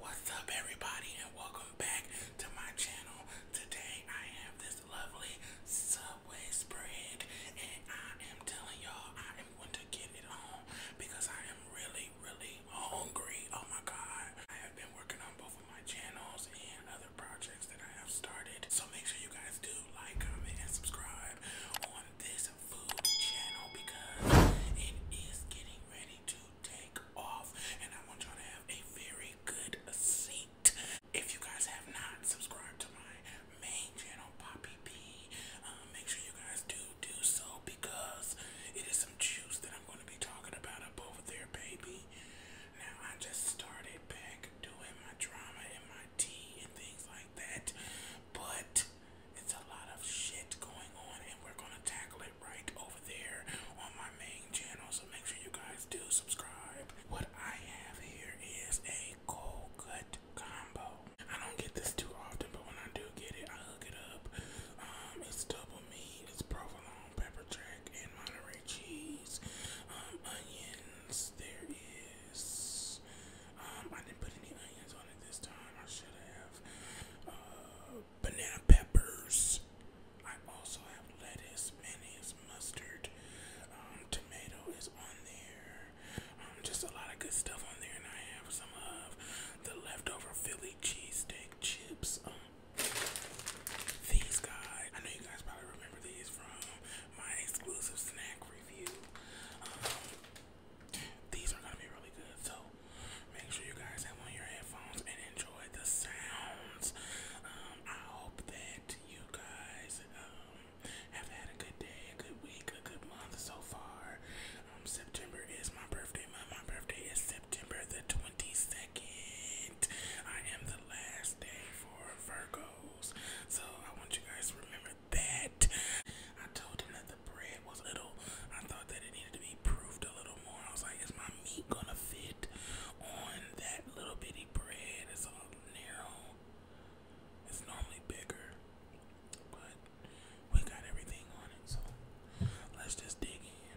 What's up everybody and welcome back to my channel. Today I have this lovely Subway spread and I am telling y'all I am going to get it on because I am really really hungry. Oh my god. I have been working on both of my channels and other projects that I have started. So make sure you guys do like, comment and subscribe on this because it is getting ready to take off and I want y'all to have a very good seat. If you guys have not subscribed to my main channel, Poppy P, uh, make sure you guys do do so because it is some juice that I'm going to be talking about up over there, baby. Now, I just started back doing my drama and my tea and things like that, but it's a lot of shit going on, and we're gonna tackle it right over there on my main channel. So make sure you guys do subscribe. What I have here is a cold cut combo. I don't get this too often, but when I do get it, I hook it up. Um, it's double meat, it's provolone, pepper jack, and Monterey cheese, um, onions. There is. Um, I didn't put any onions on it this time. I should have. Uh, banana peppers. I also have lettuce, mayonnaise, mustard, um, tomato is on there. Um, just a lot of good stuff on there, and I have some of the leftover Philly cheesesteak chips. Um, these guys, I know you guys probably remember these from my exclusive snack review. These are gonna be really good, so make sure you guys have on your headphones and enjoy the sounds. Um, I hope that you guys um, have had a good day, a good week, a good month so far. Um, September is my birthday month. My birthday is September the 22nd. I am the last day for Virgos, so I want you guys remember that. I told him that the bread was little. I thought that it needed to be proofed a little more. I was like, is my meat gonna fit on that little bitty bread? It's all narrow. It's normally bigger. But we got everything on it, so let's just dig in.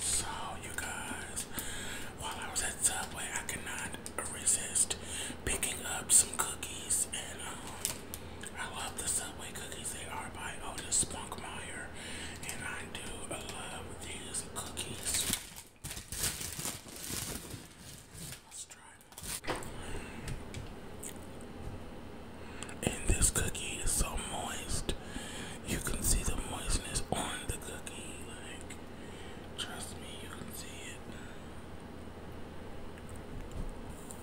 So, you guys, while I was at Subway, I could not resist picking up some cookies, and um, I love the Subway cookies. They are by Otis Spunkmeyer, and I I do love these cookies. Let's try them. And this cookie is so moist. You can see the moistness on the cookie. Like, trust me, you can see it.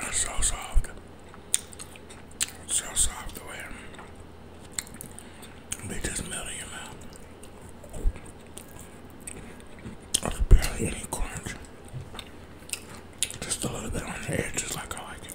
It's so soft. It's so soft the way they just melt in your mouth. barely any crunch. Just a little bit on the edge, just like I like it.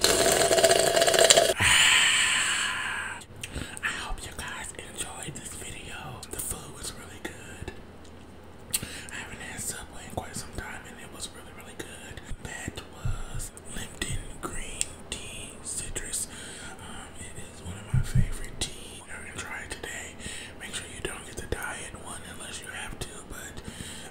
I hope you guys enjoyed this video. The food was really good. I haven't had Subway in quite some time and it was really, really good. That was Lipton Green Tea Citrus. Um, it is one of my favorite tea. You're gonna try it today. Make sure you don't get the diet one unless you have to, but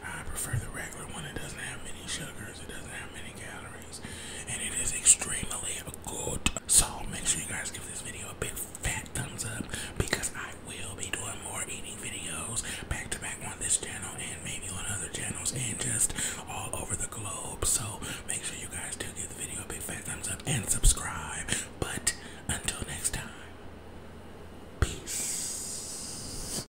I prefer the regular one. It doesn't have many sugars. It doesn't have many calories. And it is extremely good. So make sure you guys give this video a big fat thumbs up because I will be doing more eating videos back to back on this channel and maybe on other channels and just all over the globe. So make sure you guys do give the video a big fat thumbs up and subscribe. But until next time, peace.